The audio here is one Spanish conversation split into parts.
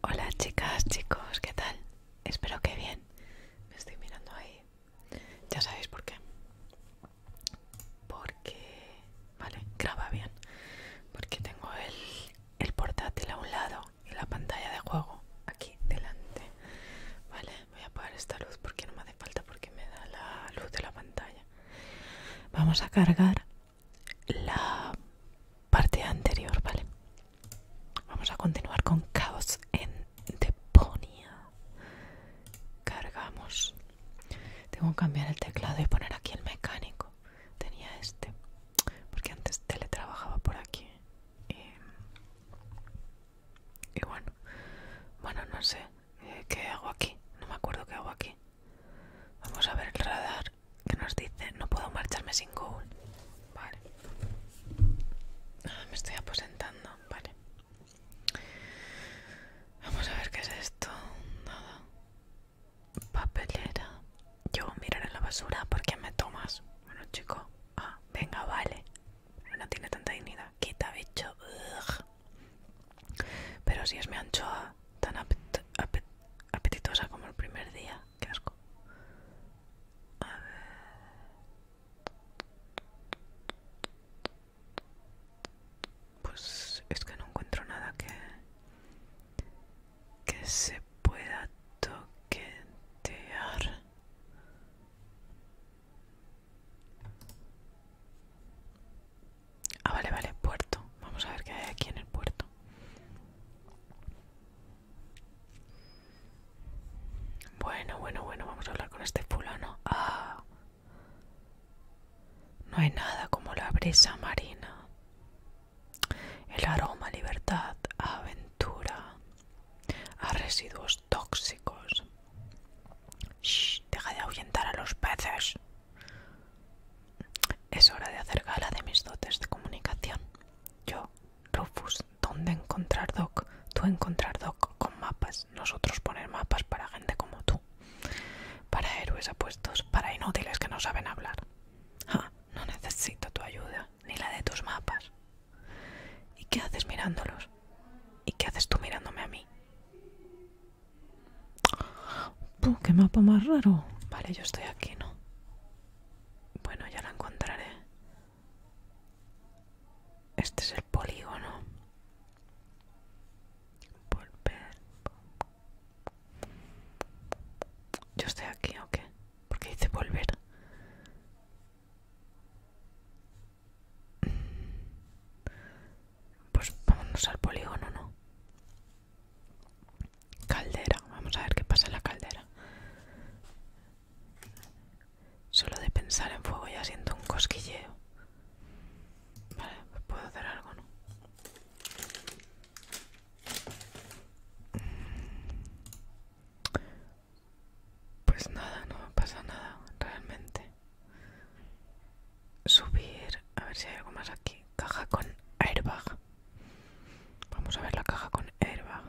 Hola chicas, chicos, ¿qué tal? Espero que bien. Me estoy mirando ahí. Ya sabéis por qué. Porque... Vale, graba bien. Porque tengo el, portátil a un lado y la pantalla de juego aquí delante. Vale, voy a apagar esta luz porque no me hace falta porque me da la luz de la pantalla. Vamos a cargar la parte anterior, ¿vale? Vamos a continuar con Caos en Deponia. Cargamos. Tengo que cambiar el teclado y poner aquí el mecánico. Tenía este, porque antes teletrabajaba por aquí. y bueno, bueno, no sé. Eh, ¿Qué hago aquí? No me acuerdo qué hago aquí. Vamos a ver el radar que nos dice no puedo marcharme sin Goal. Vale. Ah, me estoy aposentando. Vale. Vamos a ver qué es esto. Nada. Papelera. Yo miraré la basura porque me tomas. Bueno, chico. Ah, venga, vale. No tiene tanta dignidad. Quita, bicho. Pero si es mi anchoa, tan apetitosa como el primer día, qué asco. Pues es que no encuentro nada que que se pueda toquetear. Ah, vale, vale, puerto. Vamos a ver qué hay aquí en el puerto. Bueno, bueno, bueno, vamos a hablar con este fulano. Ah. No hay nada como la brisa marina. El aroma, libertad, aventura. A residuos tóxicos. deja de ahuyentar a los peces. Es hora de hacer gala de mis dotes de comunicación. Yo, Rufus, ¿dónde encontrar Doc? Tú encontrar Doc con mapas, nosotros poner mapas para gente como tú. Para héroes apuestos, para inútiles que no saben hablar. Ah, no necesito tu ayuda, ni la de tus mapas. ¿Y qué haces mirándolos? ¿Y qué haces tú mirándome a mí? ¡Qué mapa más raro! Vale, yo estoy aquí, ¿no? Bueno, ya la encontraré. Este es el polígono. Volver. ¿Yo estoy aquí o qué? Porque dice volver. Pues vámonos al polígono, ¿no? Caldera, vamos a ver qué pasa en la caldera. Solo de pensar en fuego ya siento un cosquilleo. Vale, pues puedo hacer algo, ¿no? Pues nada, no pasa nada, realmente subir a ver si hay algo más aquí caja con airbag vamos a ver la caja con airbag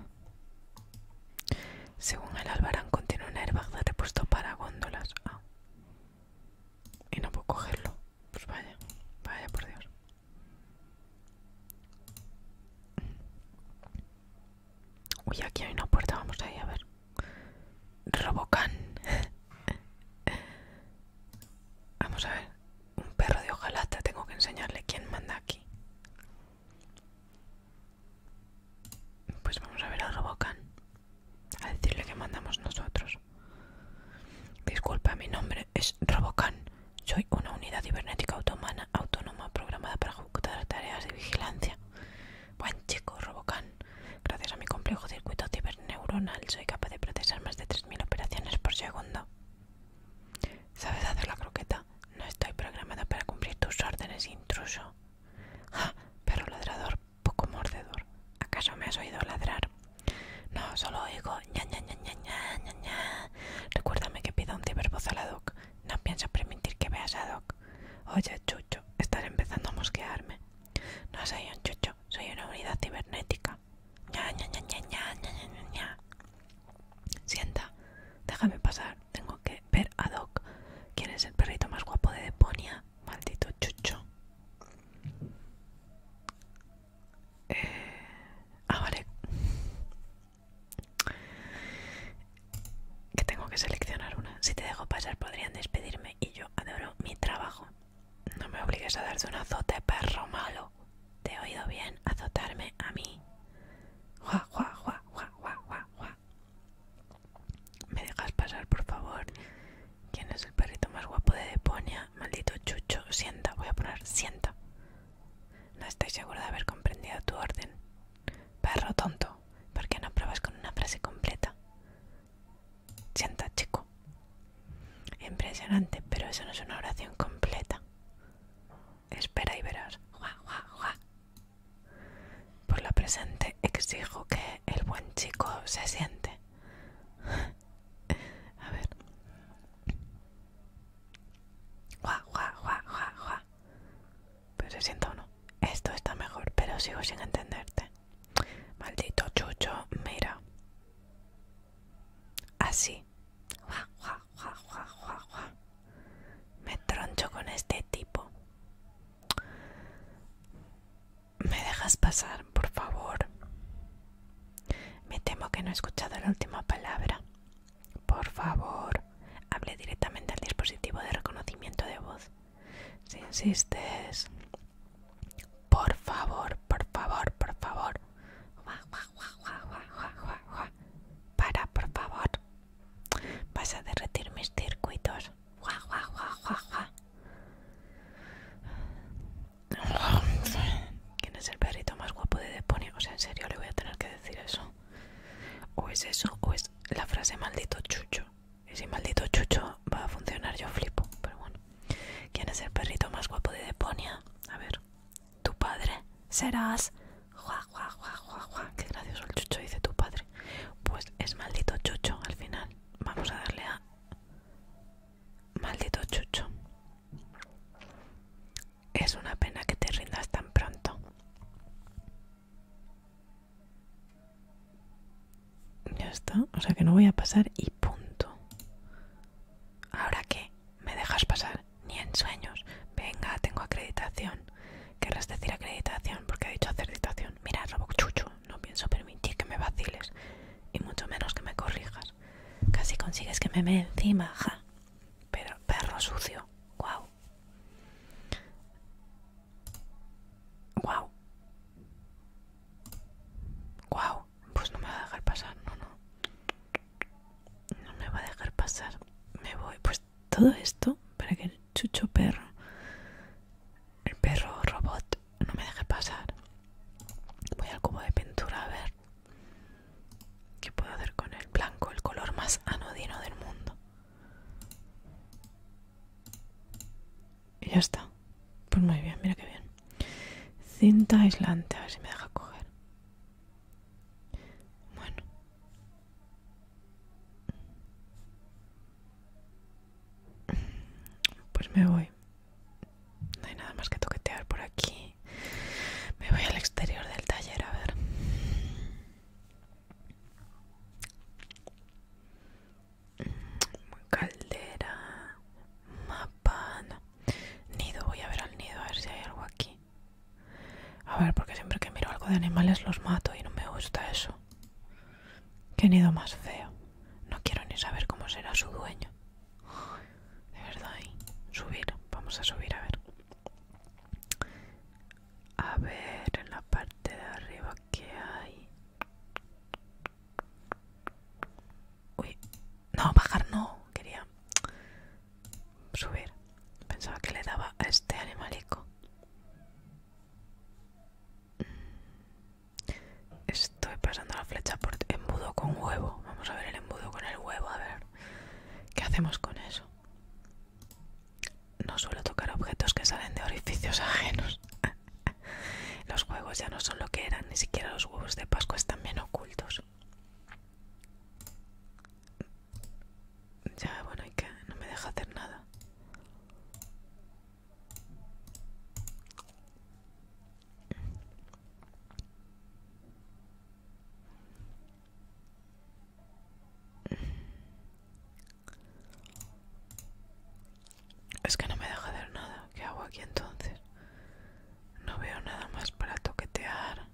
según el albarán contiene un airbag de repuesto para góndolas ah. y no puedo cogerlo pues vaya vaya por dios uy aquí hay una puerta vamos ahí a ver Robocan Vamos a ver. Un perro de hojalata. Tengo que enseñarle quién manda aquí. Pues vamos a ver al Robocan. A decirle que mandamos nosotros. Disculpa, mi nombre es Robocan. Soy una unidad cibernética autónoma programada para ejecutar tareas de vigilancia. Buen chico, Robocan. Gracias a mi complejo circuito ciberneuronal soy capaz de procesar más de 3.000 operaciones por segundo. ¿Sabes hacer la croqueta? No estoy programada para cumplir tus órdenes, intruso. ¡Ja! Pero ladrador, poco mordedor. ¿Acaso me has oído ladrar? No, solo oigo ña ña ña ña ña ña Recuérdame que pida un cibervoz a la doc. No pienso permitir que veas a doc. Oye, chucho, estaré empezando a mosquearme. No soy un chucho, soy una unidad cibernética. ña, ña, ña, ña, ña, Sienta, déjame pasar, tengo que ver a Doc. ¿Quién es el perrito más guapo de Deponia? Maldito chucho. Eh, ah, vale. Que tengo que seleccionar una. Si te dejo pasar podrían despedirme y yo adoro mi trabajo. No me obligues a darte un azote, perro malo. Te he oído bien azotarme a mí. Juá, juá, juá, juá, juá, juá. ¿Me dejas pasar, por favor? ¿Quién es el perrito más guapo de Deponia? Maldito chucho. Sienta, voy a poner sienta. No estoy seguro de haber comprendido tu orden. Perro tonto, ¿por qué no pruebas con una frase completa? Sienta, chico. Impresionante, pero eso no es una oración completa. Espera y verás. Por lo presente exijo que el buen chico se siente. A ver. Pero se sienta o no. Esto está mejor, pero sigo sin entenderte. Maldito chucho, mira. Así. Me troncho con este tipo. ¿Me dejas pasar, por favor? Me temo que no he escuchado la última palabra. Por favor, hable directamente al dispositivo de reconocimiento de voz. Si insistes, por favor, por favor, por favor. Para, por favor. Vas a derretir mis circuitos. ¿Quién es el perrito más guapo de Deponia? O sea, en serio le voy a tener que decir eso. O es eso, o es la frase maldito chucho. Y si maldito chucho va a funcionar, yo flipo, pero bueno. ¿Quién es el perrito más guapo de Deponia? A ver, tu padre serás. Qué gracioso el chucho, dice tu padre. Pues es maldito chucho al final. Vamos a darle a. Maldito chucho. Es una pena que te rindas tan pronto. Ya está, o sea que no voy a pasar y punto. ¿Ahora qué? ¿Me dejas pasar? Ni en sueños. Venga, tengo acreditación. Querrás decir acreditación porque he dicho acreditación. Mira, Robok Chucho, no pienso permitir que me vaciles y mucho menos que me corrijas. Casi consigues que me me encima, ja. Pero perro sucio, wow wow Guau pues no me va a dejar pasar, no, no. No me va a dejar pasar. Me voy. Pues todo esto para que el chucho perro, el perro robot, no me deje pasar. Voy al cubo de pintura a ver qué puedo hacer con el blanco, el color más anodino del mundo. Y ya está. Pues muy bien, mira qué bien. Cinta aislante, a ver si me deja coger. Bueno. Pues me voy. No hay nada más que toquetear por aquí. Me voy al exterior del taller a ver. Caldera, mapa, Nido, voy a ver al nido, a ver si hay algo aquí. A ver, porque siempre que miro algo de animales los mato y no me gusta eso. Qué nido más feo. No quiero ni saber cómo será su dueño. De verdad, ¿eh? subir. Vamos a subir, a ver. A ver, en la parte de arriba que hay. Uy, no, bajar no, quería subir. Pensaba que le daba a este animalico. Mm, estoy pasando la flecha por embudo con huevo. Vamos a ver el embudo con el huevo, a ver. ¿Qué hacemos con eso? No suelo tocar objetos que salen de orificios ajenos. Los juegos ya no son lo que eran, ni siquiera los huevos de Pascua están bien ocultos. Ya, bueno, ¿y que. No me deja hacer nada. Es que no me deja ver nada. ¿Qué hago aquí entonces? No veo nada más para toquetear.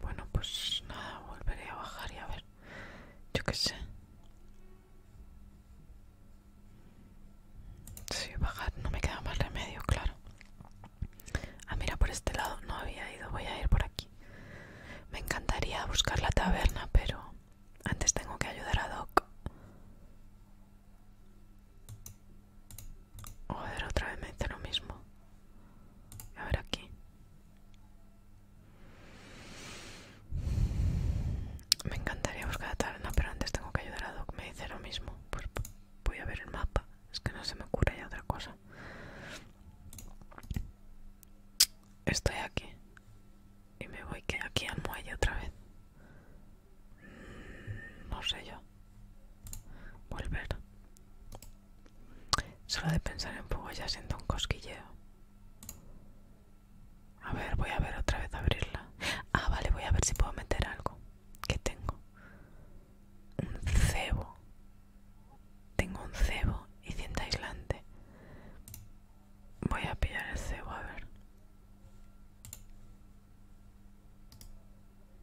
Bueno, pues nada, volveré a bajar y a ver. Yo qué sé. Sí, bajar no me queda más remedio, claro. Ah, mira, por este lado no había ido. Voy a ir por aquí. Me encantaría buscar la taberna, pero antes tengo que ayudar a Doc. ver, otra vez me dice lo mismo. A ver aquí. Me encantaría buscar la taberna, pero antes tengo que ayudar a Doc. Me dice lo mismo. Pues voy a ver el mapa. Es que no se me ocurre ya otra cosa. Estoy aquí. Y me voy que aquí al muelle otra vez. Mm, no sé yo. Volver. Solo de pensar en poco ya siento un cosquilleo. A ver, voy a ver otra vez abrirla. Ah, vale, voy a ver si puedo meter algo. ¿Qué tengo? Un cebo. Tengo un cebo y cinta aislante. Voy a pillar el cebo, a ver.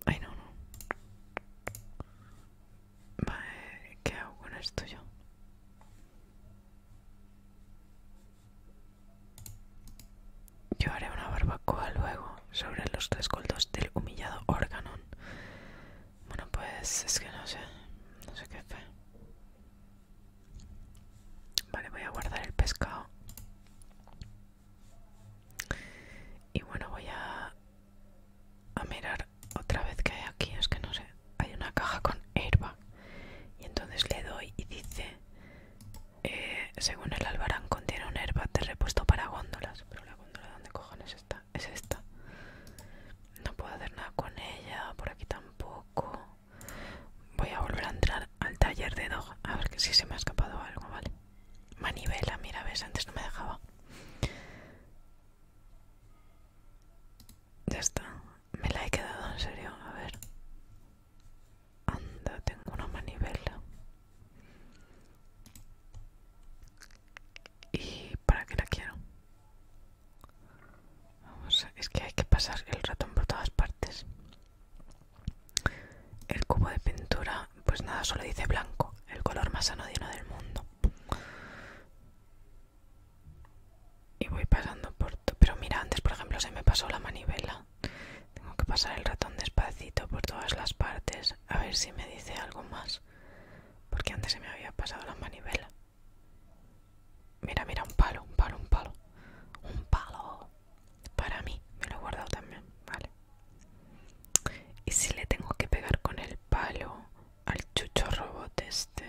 Ay, no, no. Vale, eh, ¿qué hago con esto yo? Yo haré una barbacoa luego sobre los tres coldos del humillado Organon. Bueno, pues es que no sé. No sé qué fe Vale, voy a guardar el pescado. Y bueno, voy a, a mirar otra vez que hay aquí. Es que no sé. Hay una caja con hierba Y entonces le doy y dice... Eh, según el albarán contiene un herba de repuesto para góndolas. Pero la góndola, ¿dónde cojones está? es esta. No puedo hacer nada con ella, por aquí tampoco. Voy a volver a entrar al taller de Dog, a ver que si se me ha escapado algo, ¿vale? Manivela, mira, ves, antes no me dejaba. Ya está, me la he quedado en serio, a ver. Anda, tengo una manivela. ¿Y para qué la quiero? Vamos, es que hay que pasar el ratón por todas partes. El cubo de pintura, pues nada, solo dice blanco, el color más anodino del mundo. Y voy pasando por... todo Pero mira, antes por ejemplo se me pasó la manivela. Tengo que pasar el ratón despacito por todas las partes. A ver si me dice algo más. Porque antes se me había pasado la manivela. Mira, mira, un palo, un palo, un palo. Un palo. Para mí, me lo he guardado también, ¿vale? Y si le tengo que pegar con el palo al chucho robot este.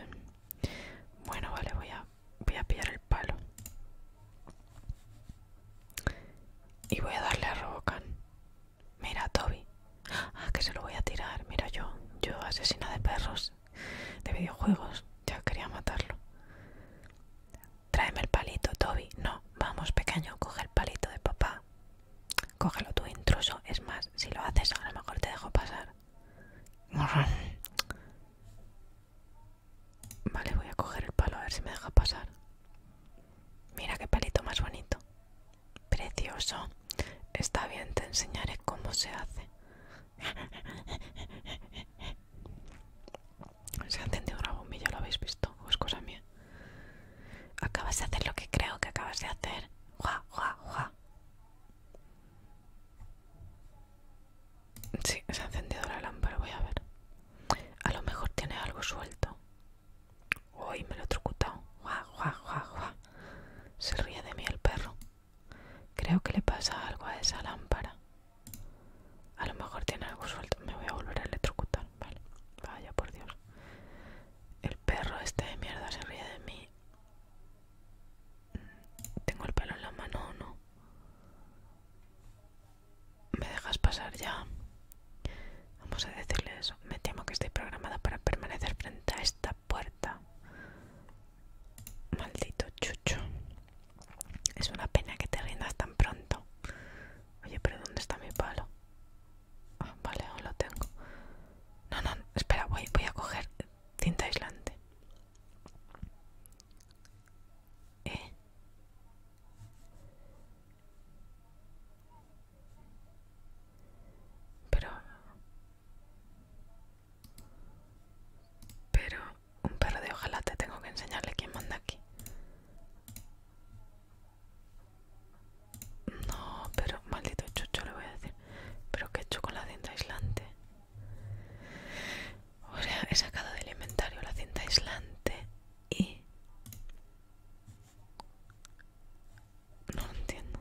Bueno, vale, voy a, voy a pillar el palo. Y voy a darle a Robocan. Mira, Toby, Ah, que se lo voy a tirar. Mira yo, yo asesina de perros, de videojuegos. Ya quería matarlo. Tráeme el palito, Toby. No, vamos, pequeño, coge el palito de papá. Cógelo tú, intruso. Es más, si lo haces, a lo mejor te dejo pasar. Vale, voy a coger el palo a ver si me deja pasar. Mira qué palito más bonito. Precioso. Está bien, te enseñaré cómo se hace. Se ha encendido una bombilla, lo habéis visto, es cosa mía. Acabas de hacer lo que creo que acabas de hacer. Gua, Sí, se ha encendido la lámpara, voy a ver. A lo mejor tiene algo suelto. Uy, me lo he trucutado. Se ríe de mí el perro. Creo que le pasa algo a esa lámpara. A lo mejor tiene algo suelto. Me voy a volver a electrocutar. Vale. Vaya por Dios. El perro este de mierda se ríe de mí. Mm, ¿Tengo el pelo en la mano o no? ¿Me dejas pasar ya? Vamos a decirle eso. Me temo que estoy programada para permanecer frente a esta puerta. Maldito chucho. Es una pena que te rindas tan pronto. Oye, pero ¿dónde está mi palo? Ah, vale, no lo tengo. No, no, espera, voy, voy a coger cinta aislante. Eh. Pero... Pero un perro de ojalá te tengo que enseñarle quién manda aquí. No, pero maldito chucho le voy a decir. Pero qué hecho con la cinta aislante. O sea, he sacado del inventario la cinta aislante y... No entiendo.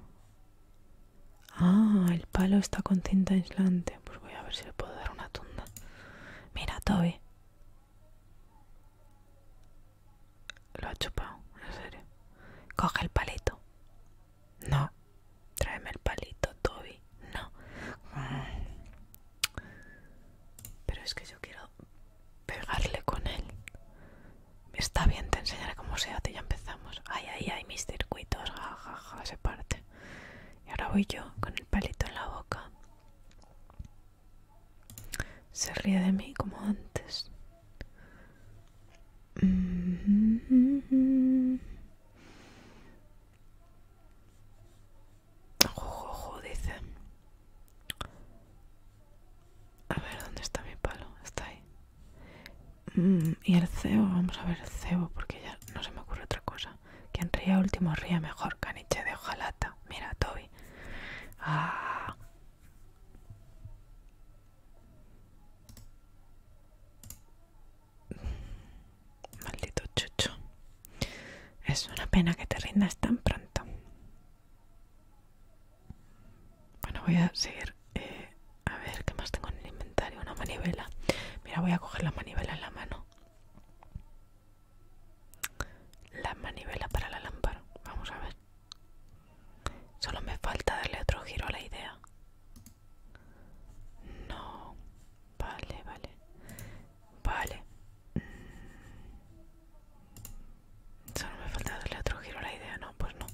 Ah, el palo está con cinta aislante. Pues voy a ver si le puedo dar una tunda. Mira, Toby. Lo ha chupado, en serio. Coge el palito. No. Tráeme el palito, Toby. No. Pero es que yo quiero pegarle con él. Está bien, te enseñaré cómo se hace, ya empezamos. Ay, ay, ay, mis circuitos, jajaja, se parte. Y ahora voy yo con el palito en la boca. Se ríe de mí como antes. Mm-hmm. dice. A ver, ¿dónde está mi palo? Está ahí. Mm, y el cebo, vamos a ver el cebo, porque ya no se me ocurre otra cosa. Quien ría último ría mejor, caniche de hojalata. Mira, Toby. Ah. Maldito chucho. Es una pena que te rindas tan pronto. Bueno, voy a seguir. Eh, a ver, ¿qué más tengo en el inventario? Una manivela. Mira, voy a coger la manivela en la mano. La manivela para la lámpara. Vamos a ver. Solo me falta darle otro giro a la idea. No. Vale, vale. Vale. Mm. Solo me falta darle otro giro a la idea, ¿no? Pues no.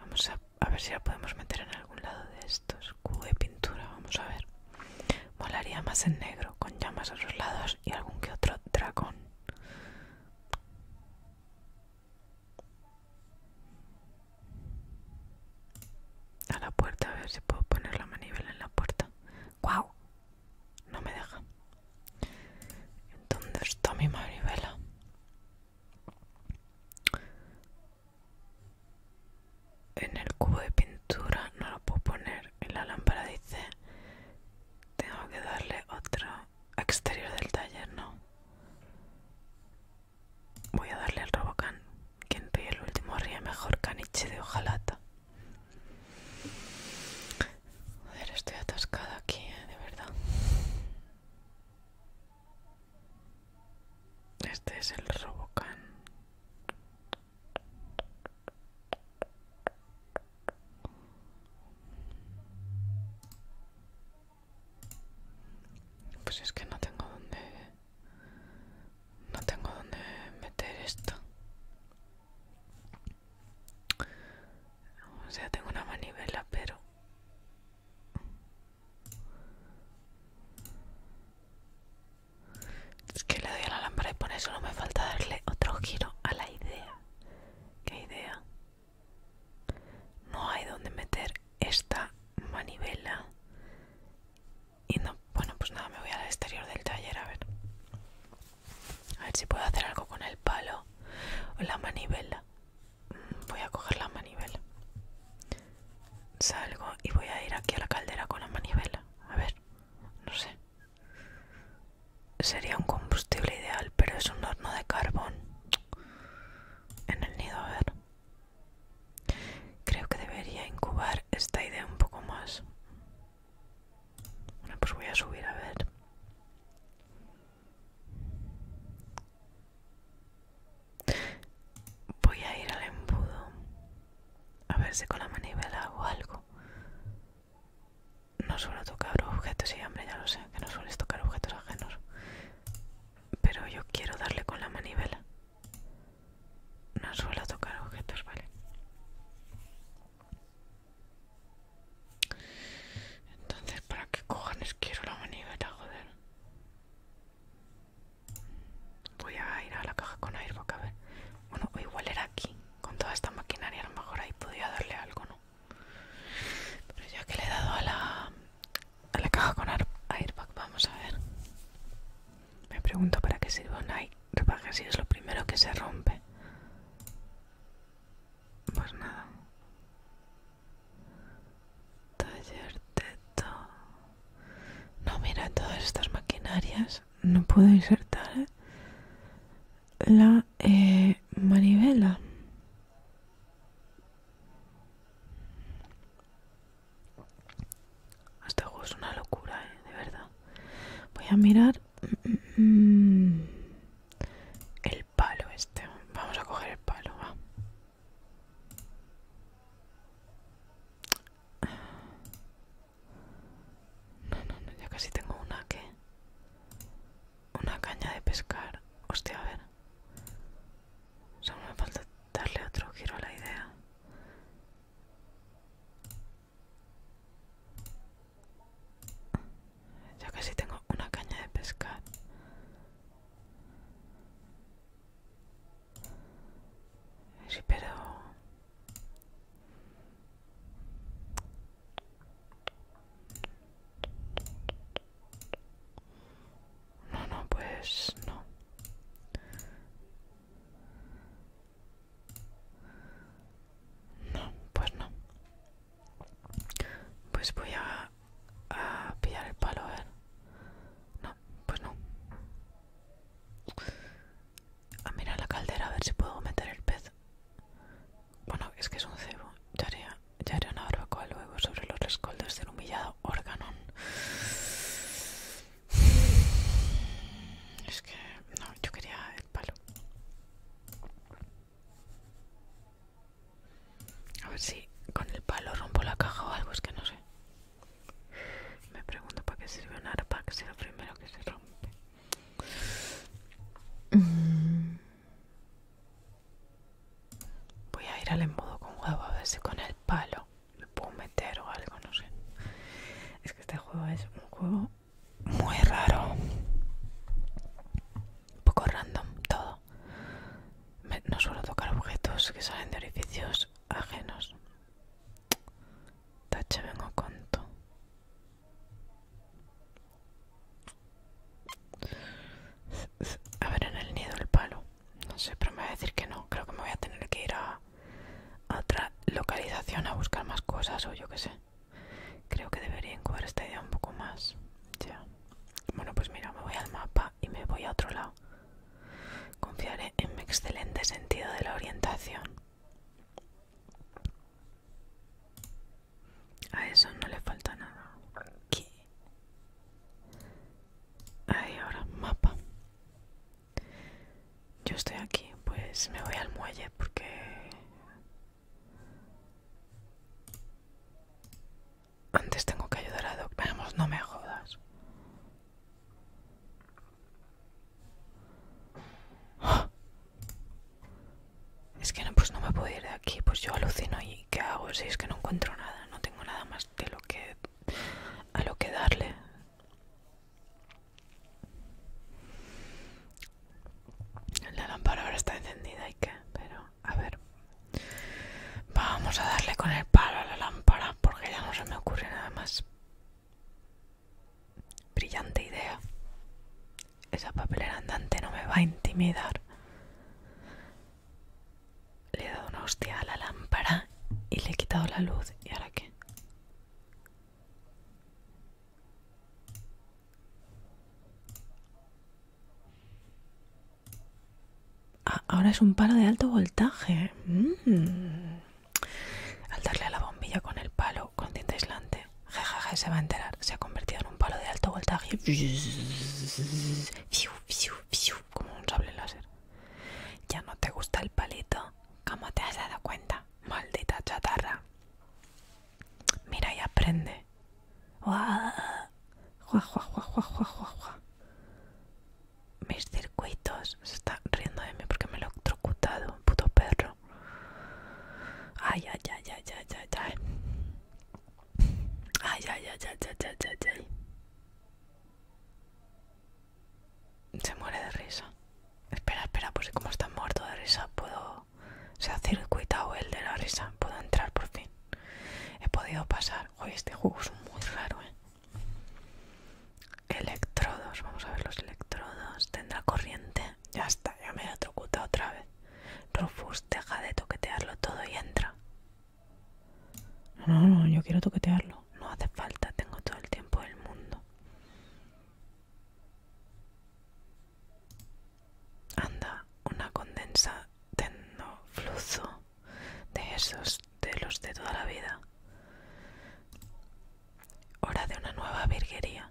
Vamos a a ver si la podemos meter en algún lado de estos. Cubo de pintura, vamos a ver. Molaría más en negro, con llamas a los lados y algún que otro dragón. A la puerta, a ver si puedo poner la manivela en la puerta. ¡Guau! No me deja. ¿Dónde está mi manivela? en el cubo de pintura no lo puedo poner en la lámpara dice tengo que darle otro exterior del taller no voy a darle al Robocan quien ríe el último ríe mejor caniche de hojalata Joder, estoy atascada aquí, ¿eh? de verdad. Este es el Robocan. Pues es que no tengo dónde no tengo dónde meter esto. O sea, tengo una manivela, pero es que le doy a la lámpara y por eso no me falta darle otro giro a la idea. ¿Qué idea? No hay donde meter esta manivela. Y no, bueno, pues nada, me voy al exterior del taller a ver. A ver si puedo hacer algo con el palo o la manivela voy a coger la manivela. Salgo y voy a ir aquí a la caldera con la manivela. A ver, no sé. Sería un combustible ideal, pero es un horno de carbón. En el nido, a ver. Creo que debería incubar esta idea un poco más. Bueno, pues voy a subir a ver. Voy a ir al embudo. A ver si con la manivela hago algo. No suelo tocar objetos y hambre, ya lo sé, que no sueles tocar objetos ajenos. Pero yo quiero darle con la manivela. No suelo tocar objetos, vale. Entonces, ¿para qué cojones quiero la manivela, joder? Voy a ir a la caja con airbag a ver. Bueno, igual era aquí. Con toda esta maquinaria a lo mejor ahí podía darle algo, ¿no? Pero ya que le he dado a la, a la caja con Airbag, vamos a ver. Me pregunto para qué sirve un Airbag si es lo primero que se rompe. Pues nada. Taller teto. No, mira, todas estas maquinarias no puedo insertar ¿eh? la eh, manivela. Este juego es una locura, ¿eh? de verdad. Voy a mirar mm, mm, mm, el palo este. Vamos a coger el palo, va. No, no, no, ya casi tengo una que... Una caña de pescar. Hostia, a ver. Solo me falta darle otro giro a la idea. Ya casi tengo una caña de pescar. Esperou. No, no, pues no. No, pues no. Pues voy a a pillar el palo, a ver. No, pues no. A mirar la caldera a ver si puedo meter el pez. Bueno, es que es un cebo. Ya haría ya haré una barbacoa luego sobre los rescoldos del humillado órgano Es que no, yo quería el palo. A ver si con el palo rompo la caja o algo, es que no sé. Me pregunto para qué sirve un arpa, que sea lo primero que se rompe. Voy a ir al embudo con huevo, a ver si con el palo lo puedo meter o algo, no sé. Es que este juego es un juego muy raro. Un poco random todo no suelo tocar objetos que salen de orificios ajenos. Tache vengo conto. A ver en el nido el palo. No sé, pero me voy a decir que no. Creo que me voy a tener que ir a, otra localización a buscar más cosas o yo qué sé. Creo que debería encuadrar esta idea un poco más. Ya. Bueno, pues mira, me voy al mapa y me voy a otro lado. Confiaré en mi excelente sentido de la orientación. A eso no le falta nada. Aquí. Ahí ahora, mapa. Yo estoy aquí, pues me voy al muelle porque... Antes tengo que ayudar a Doc. Vamos, no me jodas. Es que no, pues no me puedo ir de aquí. Pues yo alucino y ¿qué hago? Si es que no encuentro nada. No tengo nada más de lo que... a lo que darle. La lámpara ahora está encendida y qué, pero a ver vamos a darle con el palo a la lámpara porque ya no se me ocurre nada más brillante idea esa papelera andante no me va a intimidar le he dado una hostia a la lámpara y le he quitado la luz y ahora qué Ah, ahora es un palo de alto voltaje. Mm. Al darle a la bombilla con el palo, con tinta aislante, jejeje, se va a enterar. Se ha convertido en un palo de alto voltaje. Como un sable láser. Ya no te gusta el palito. ¿Cómo te has dado cuenta? Maldita chatarra. Mira y aprende. Mis circuitos. Se está riendo de mí porque me lo he trocutado. Puto perro. Ay, ay, ay, ay, ay, ay, ay. Ay, ay, ay, Se muere de risa. Espera, espera, pues como está muerto de risa, puedo. Se ha circuitado el de la risa. Puedo entrar por fin. He podido pasar Oye, este juego es muy raro, ¿eh? Electrodos, vamos a ver los electrodos. Tendrá corriente. Ya está, ya me he electrocutado otra vez. Rufus, deja de toquetearlo todo y entra. No, no, yo quiero toquetearlo. No hace falta, tengo todo el tiempo del mundo. Anda, una condensa fluzo de esos, de los de toda la vida. Hora de una nueva virguería.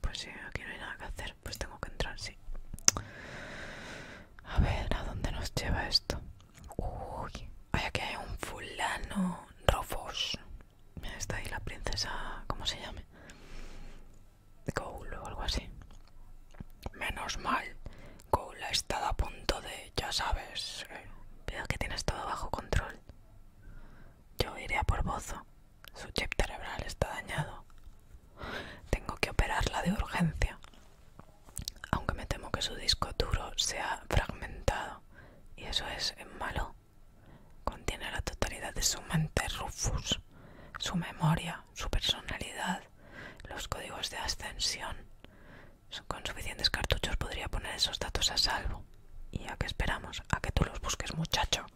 Pues sí, aquí no hay nada que hacer, pues tengo que entrar, sí. A ver, ¿a dónde nos lleva esto? Uy, hay aquí hay un fulano, Rofos está ahí la princesa, ¿cómo se llame? Goul o algo así. Menos mal, Goul ha estado a punto de, ya sabes, eh, veo que tienes todo bajo control. Yo iré a por Bozo. Su chip cerebral está dañado. Tengo que operarla de urgencia. Aunque me temo que su disco duro sea fragmentado. Y eso es malo. Contiene la totalidad de su mente Rufus, su memoria, su personalidad, los códigos de ascensión. Con suficientes cartuchos podría poner esos datos a salvo. ¿Y a qué esperamos? A que tú los busques, muchacho.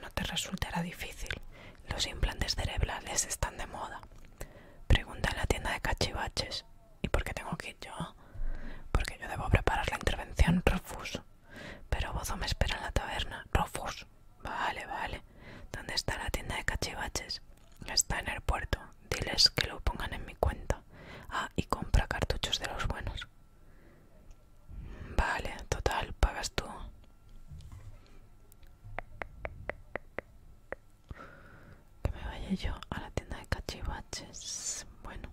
No te resultará difícil. Los implantes cerebrales están de moda. Pregunta en la tienda de cachivaches. ¿Y por qué tengo que ir yo? Porque yo debo preparar la intervención, Rufus. Pero Bozo me espera en la taberna. Rufus. Vale, vale. ¿Dónde está la tienda de cachivaches? Está en el puerto. Diles que lo pongan en mi cuenta. Ah, y compra cartuchos de los buenos. Vale, total, pagas tú. Que me vaya yo a la tienda de cachivaches. Bueno,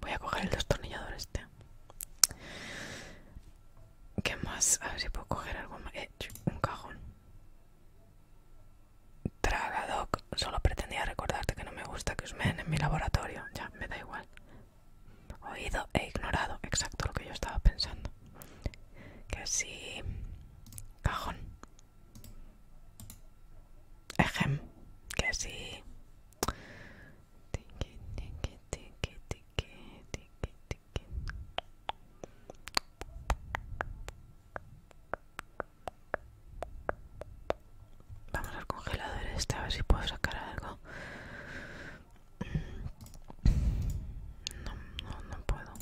Voy a coger el destornillador este. ¿Qué más? A ver si puedo coger algo más. Eh, un cajón. Tragadoc. Solo pretendía recordarte que no me gusta que os meen en mi laboratorio. Ya, me da igual. Oído e ignorado. Exacto lo que yo estaba pensando. Que sí. Cajón. Ejem. Que sí. Vamos al congelador este a ver si puedo sacar algo. No, no, no puedo.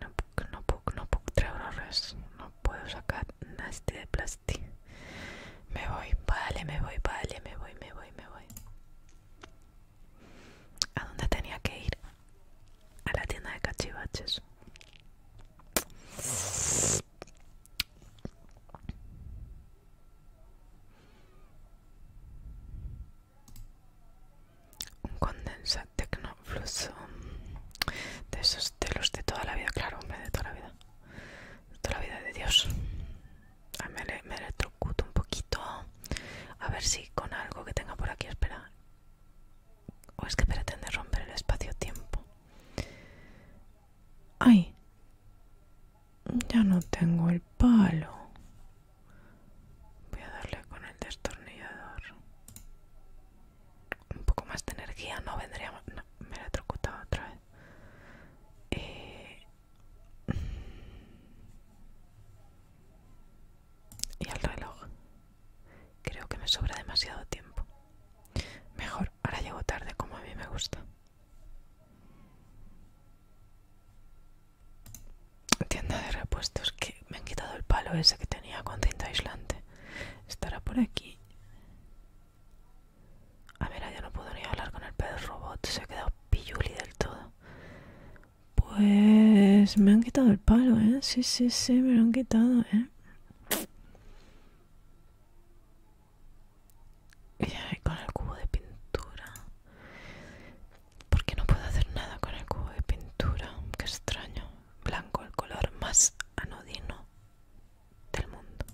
No puedo, no puedo, no horas no puedo sacar nada de plástico. Este. Me voy, vale, me voy, vale, me voy, me voy, me voy. ¿A dónde tenía que ir? A la tienda de cachivaches. Un condensado de esos de los de toda la vida, claro, hombre, de toda la vida. De toda la vida de Dios. A me, me electrocuto un poquito. A ver si con algo que tenga por aquí, espera. O es que pretende romper el espacio-tiempo. ¡Ay! Ya no tengo el palo. Voy a darle con el destornillador un poco más de energía no vendría me la he otra vez eh, y el reloj creo que me sobra demasiado tiempo mejor ahora llego tarde como a mí me gusta tienda de repuestos que me han quitado el palo ese que tenía con cinta aislante estará por aquí a ver, yo no puedo ni hablar con el perro robot, se ha quedado pilluli del todo. Pues me han quitado el palo, ¿eh? Sí, sí, sí, me lo han quitado, ¿eh? Y con el cubo de pintura. Porque no puedo hacer nada con el cubo de pintura. Qué extraño. Blanco, el color más anodino del mundo.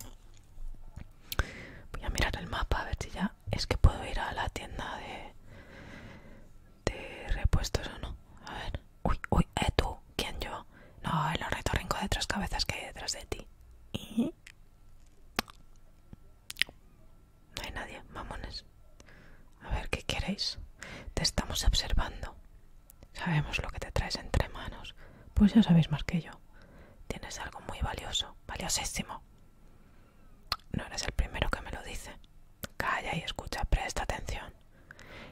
Voy a mirar el mapa a ver si ya es que puedo ir a la tienda de, de repuestos o no. A ver. Uy, uy, eh, tú, ¿quién yo? No, el rincón de tres cabezas que hay detrás de ti. No hay nadie, mamones. A ver, ¿qué queréis? Te estamos observando. Sabemos lo que te traes entre manos, pues ya sabéis más que yo. Tienes algo muy valioso, valiosísimo. No eres el primero que me lo dice. Calla y escucha, presta atención.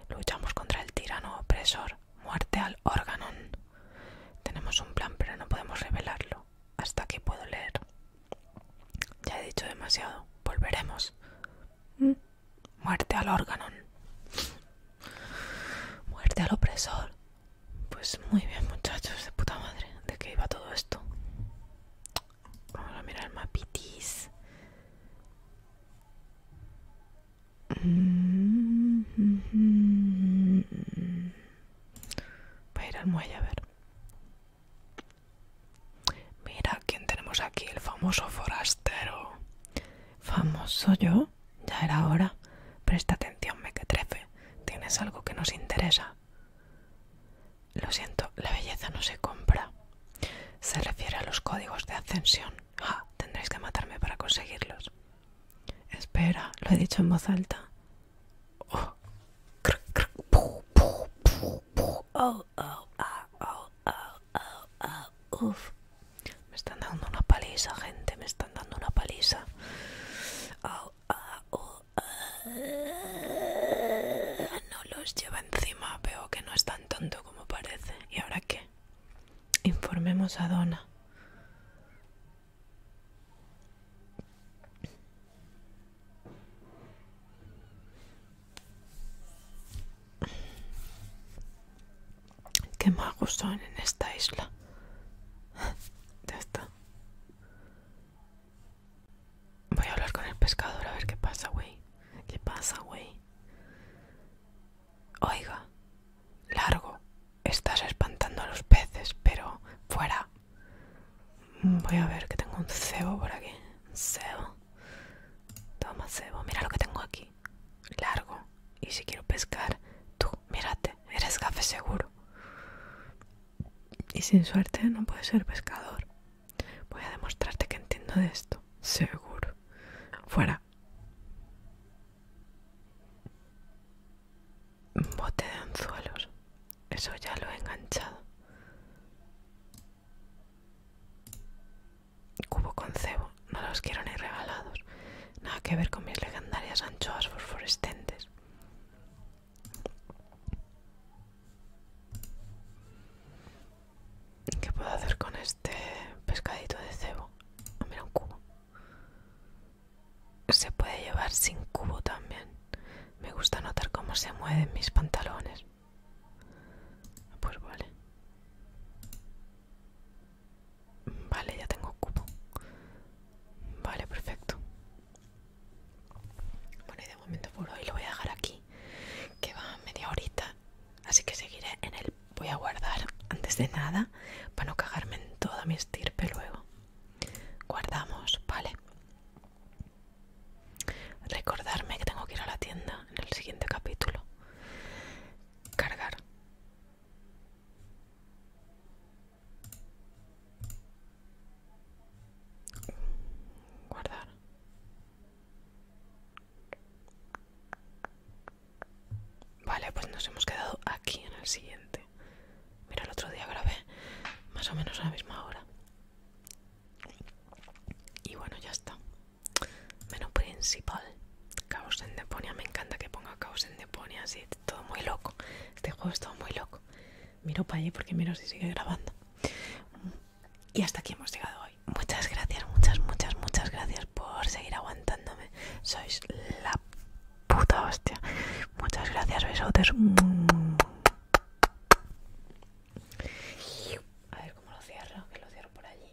Luchamos contra el tirano opresor. Muerte al órgano! Tenemos un plan, pero no podemos revelarlo. Hasta aquí puedo leer. Ya he dicho demasiado. Volveremos. ¿Mm? Muerte al órgano Muerte al opresor. Pues muy bien, muchachos, de puta madre. ¿De qué iba todo esto? Vamos a mirar el mapitis. Mm-hmm. Voy a ir al muelle a ver. Mira quién tenemos aquí, el famoso forastero. Famoso yo, ya era hora. Presta atención, me mequetrefe. Tienes algo que nos interesa. Lo siento, la belleza no se compra. Se refiere a los códigos de ascensión. Ah, tendréis que matarme para conseguirlos. Espera, lo he dicho en voz alta. Me están dando una paliza, gente. Me están dando una paliza. No los lleva encima. Veo que no es tan tonto como parece. ¿Y ahora qué? Informemos a Donna. Qué magos son en esta isla. ya está. Voy a hablar con el pescador a ver qué pasa, güey. ¿Qué pasa, güey? Oiga, largo. Estás espantando a los peces, pero fuera. Voy a ver que tengo un cebo por aquí. Un cebo. Toma cebo. Mira lo que tengo aquí largo y si quiero pescar, tú, mírate, eres café seguro. Y sin suerte no puedes ser pescador. Voy a demostrarte que entiendo de esto, seguro. Fuera. Bote de anzuelos. Eso ya lo he enganchado cubo con cebo, no los quiero ni regalados. Nada que ver con mis legendarias anchoas fosforescentes. ¿Qué puedo hacer con este pescadito de cebo? Ah, mira, un cubo. Se puede llevar sin cubo también. Me gusta notar cómo se mueven mis pantalones. Pues vale. Vale, ya tengo cubo. Vale, perfecto. Bueno, y de momento por hoy lo voy a dejar aquí, que va media horita. Así que seguiré en él. Voy a guardar antes de nada para no cagarme en toda mi estirpe luego. Guardamos, vale. Recordarme que tengo que ir a la tienda en el siguiente capítulo. Cargar. Guardar. Vale, pues nos hemos quedado aquí en el siguiente. Mira, el otro día grabé más o menos a la misma hora. Y bueno, ya está. Menú principal. Caos en Deponia, me encanta que ponga Caos en Deponia, así, todo muy loco. Este juego es todo muy loco. Miro para allí porque miro si sigue grabando. Y hasta aquí hemos llegado hoy. Muchas gracias, muchas, muchas, muchas gracias por seguir aguantándome. Sois la puta hostia. Muchas gracias, besotes. A ver cómo lo cierro, que lo cierro por allí.